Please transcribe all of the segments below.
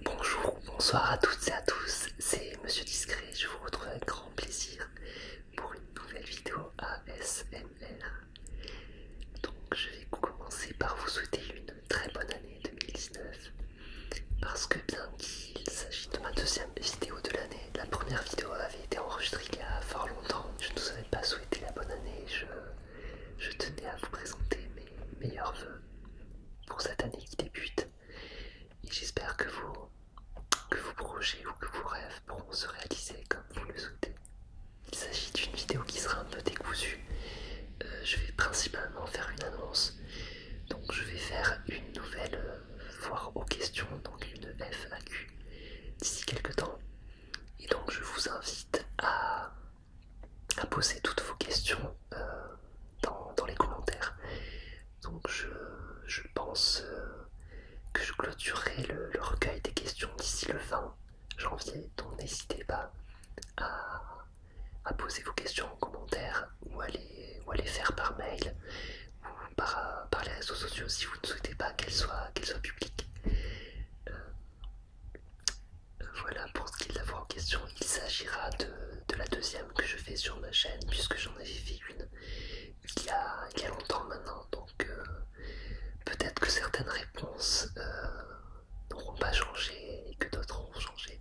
Bonjour, bonsoir à toutes et à tous, c'est Monsieur Discret, je vous retrouve avec grand plaisir pour une nouvelle vidéo ASMR. Donc je vais commencer par vous souhaiter une très bonne année 2019, parce que bien qu'il s'agisse de ma deuxième vidéo de l'année, la première vidéo avait été enregistrée il y a fort longtemps, je ne vous avais pas souhaité la bonne année, je, je tenais à vous présenter mes meilleurs voeux pour cette année qui débute. Et j'espère que vos, projets ou que vos rêves pourront se réaliser comme vous le souhaitez. Il s'agit d'une vidéo qui sera un peu décousue. Euh, je vais principalement faire une annonce. Donc je vais faire une nouvelle voire euh, aux questions, donc une FAQ, d'ici quelques temps. Et donc je vous invite à à poser toutes vos questions euh, dans, les commentaires. Donc je, pense euh, que je clôturerai le, recueil des questions d'ici le 20 janvier. Donc n'hésitez pas à, poser vos questions en commentaire ou à les, faire par mail ou par, les réseaux sociaux si vous ne souhaitez pas qu'elles soient, publiques. Euh, voilà pour ce qui est de la en question, il s'agira de, la deuxième que je fais sur ma chaîne, puisque j'en avais fait une il y a, longtemps maintenant, donc euh, peut-être que certaines réponses euh, n'auront pas changé et que d'autres auront changé.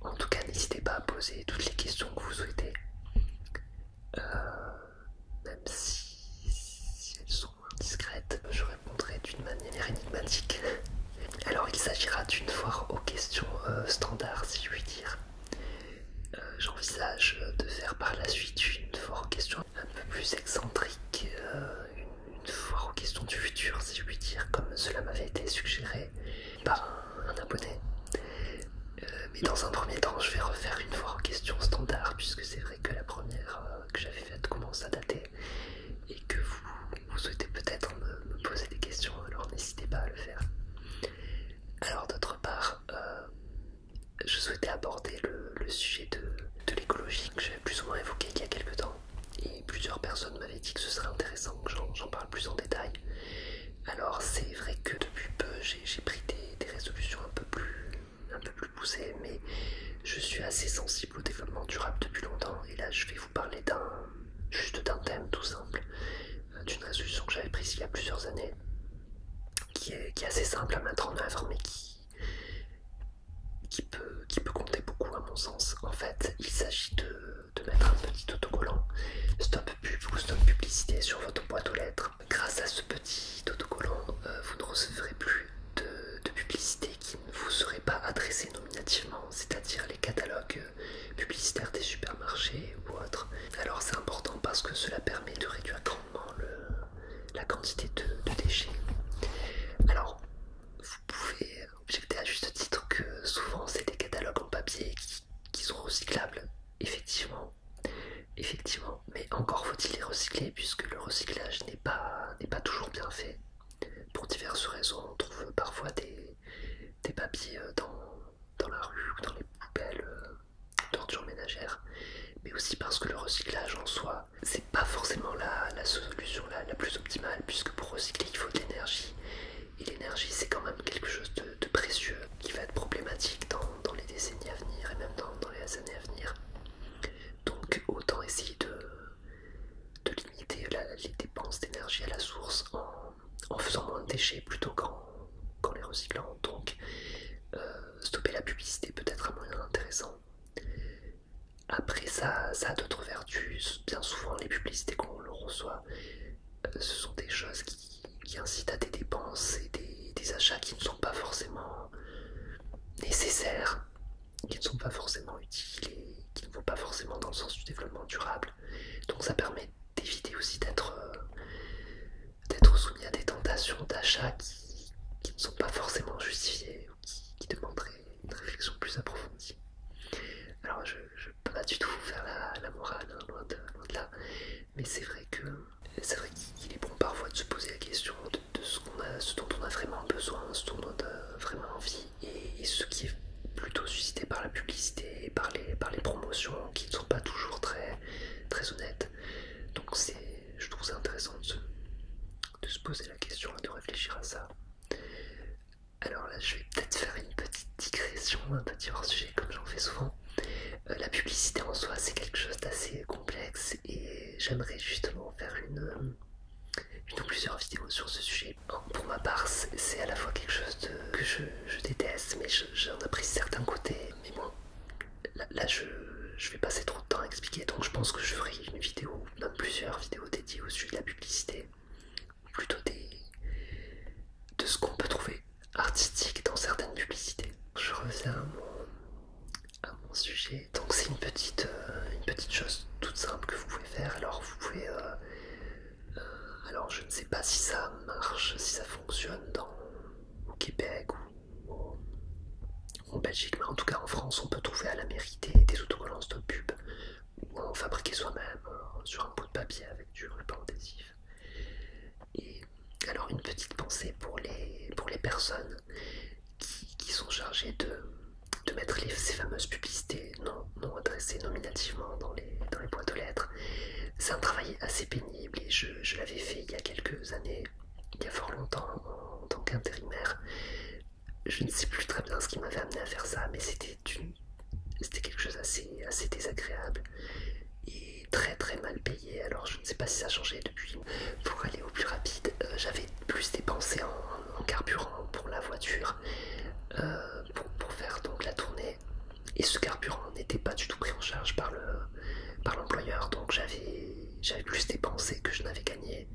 En tout cas, n'hésitez pas à poser toutes les questions que vous souhaitez, euh, même si elles sont discrète je répondrai d'une manière énigmatique. Alors il s'agira d'une foire aux questions euh, standard si je puis dire. Euh, j'envisage de faire par la suite une foire aux questions un peu plus excentrique, euh, une, fois aux questions du futur, si je puis dire, comme cela m'avait été suggéré par un, abonné. mais dans un premier temps, je vais refaire une fois aux questions standard puisque c'est vrai que la première que j'avais faite commence à dater et que vous, souhaitez peut-être me, poser des questions, alors n'hésitez pas à le faire. Alors d'autre part, euh, je souhaitais aborder le, sujet de, l'écologie que j'avais plus ou moins évoqué il y a quelques temps et plusieurs personnes m'avaient dit que ce serait intéressant que j'en parle plus en détail. Alors c'est vrai que depuis peu j'ai pris des résolutions un peu plus un peu plus poussé, mais je suis assez sensible au développement durable depuis longtemps. Et là, je vais vous parler d'un juste d'un thème tout simple, euh, d'une résolution que j'avais prise il y a plusieurs années, qui est, assez simple à mettre en œuvre, mais qui, qui, peut, qui peut compter beaucoup à mon sens. En fait, il s'agit de, de mettre un petit autocollant stop pub ou stop publicité sur votre boîte aux lettres. Grâce à ce petit dit euh, vous ne recevrez plus de, publicité qui ne vous seraient pas adressée nominativement, c'est-à-dire les catalogues euh, publicitaires des supermarchés ou autres. Alors c'est important parce que cela permet de réduire grandement la quantité de, déchets. Alors vous pouvez objecter à juste titre que souvent c'est des catalogues en papier qui sont recyclables, effectivement. Effectivement, mais encore faut-il les recycler puisque le recyclage n'est pas, toujours bien fait. Pour diverses raisons, on trouve parfois des, papiers euh, dans, la rue ou dans les poubelles euh, d'ordures ménagères, mais aussi parce que le recyclage en soi, c'est pas forcément la, la solution la, plus optimale puisque pour recycler il faut de l'énergie. Et l'énergie c'est quand même quelque chose de, précieux qui va être problématique dans, les décennies à venir et même dans les années à venir. Donc autant essayer de, limiter les dépenses d'énergie à la source en, faisant moins de déchets plutôt qu'en les recyclant. Donc euh, stopper la publicité peut être un moyen intéressant. Après ça, ça a d'autres vertus. Bien souvent les publicités qu'on reçoit, euh, ce sont des choses qui, incitent à des dépenses et des achats qui ne sont pas forcément nécessaires, qui ne sont pas forcément utiles et qui ne vont pas forcément dans le sens du développement durable. Donc ça permet d'éviter aussi d'être euh, soumis à des tentations d'achat qui, ne sont pas forcément justifiées ou qui, demanderaient une réflexion plus approfondie. Alors je ne peux pas du tout vous faire la, morale, hein, loin de là, mais c'est vrai que c'est vrai qu'il est bon parfois de se poser la question de, ce, a, ce dont on a vraiment besoin, ce dont on a vraiment envie, et, ce qui est plutôt suscité par la publicité par les, par les promotions qui ne sont pas toujours très, très honnêtes. Donc je trouve ça intéressant de se, de se poser la question et de réfléchir à ça. Alors là, je vais peut-être faire une petite digression, un petit hors-sujet comme j'en fais souvent, euh, la publicité en soi, c'est quelque chose d'assez complexe et j'aimerais justement faire une, euh, ou plusieurs vidéos sur ce sujet. pour ma part, c'est à la fois quelque chose que je, déteste, mais j'en appris certains côtés. Mais moi, là, je, vais passer trop de temps à expliquer, donc je pense que je ferai une vidéo, même plusieurs vidéos dédiées au sujet de la publicité, plutôt des, de ce qu'on peut trouver artistique dans certaines publicités. Je reviens à mon, sujet. Donc c'est une petite, euh, petite chose toute simple que vous pouvez faire. Alors vous pouvez... Euh, euh, alors je ne sais pas si ça marche, si ça fonctionne dans, au Québec ou en Belgique, mais en tout cas en France, on peut trouver à la mairie des, autocollants de pub ou en fabriquer soi-même sur un bout de papier avec du ruban adhésif. Et alors une petite pensée pour les, pour les personnes qui, sont chargées de, de mettre ces fameuses publicités non, non adressées nominativement dans les, dans les boîtes aux lettres. C'est un travail assez pénible et je, l'avais fait il y a quelques années, il y a fort longtemps en tant qu'intérimaire. Je ne sais plus très bien ce qui m'avait amené à faire ça, mais c'était c'était quelque chose d'assez assez désagréable très très mal payé. Alors je ne sais pas si ça a changé depuis. Pour aller au plus rapide, euh, j'avais plus dépensé en, carburant pour la voiture euh, pour, faire donc la tournée. Et ce carburant n'était pas du tout pris en charge par l'employeur, le, par donc j'avais plus dépensé que je n'avais gagné.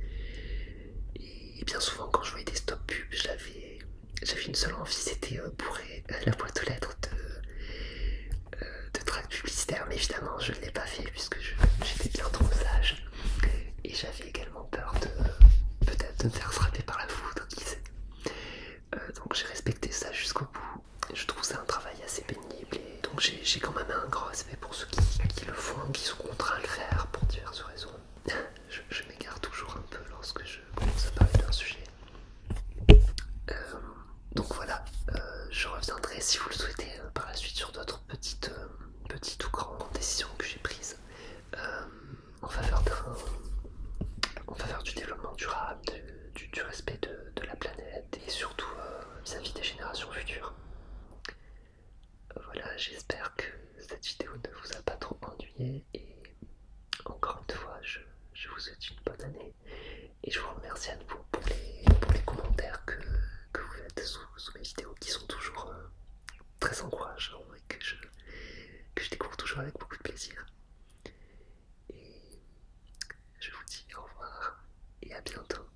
Et, bien souvent, quand je voyais des stop pubs, j'avais j'avais une seule envie, c'était pour euh, euh, la boîte aux lettres de, euh, tracts publicitaires. mais évidemment je ne l'ai pas fait puisque j'étais bien trop sage et j'avais également peur de peut-être de me faire frapper par la foudre, qui sait. donc j'ai respecté ça jusqu'au bout. Je trouve ça un travail assez pénible et donc j'ai quand même un gros respect pour ceux qui, le font, qui sont contraints à le faire pour diverses raisons. je m'égare toujours un peu lorsque je commence à parler d'un sujet. Euh, donc voilà, euh, je reviendrai si vous le souhaitez euh, par la suite sur d'autres petites, petites ou grandes décisions que j'ai prises en, faveur du développement durable, du, respect de, la planète et surtout vis à des générations futures. Voilà, j'espère que cette vidéo ne vous a pas trop ennuyé et encore une fois, je, vous souhaite une bonne année et je vous remercie à nouveau pour les, commentaires que, vous faites sous, mes vidéos qui sont toujours euh, très encourageants et que je, que je découvre toujours avec beaucoup de plaisir. Et je vous dis au revoir et à bientôt.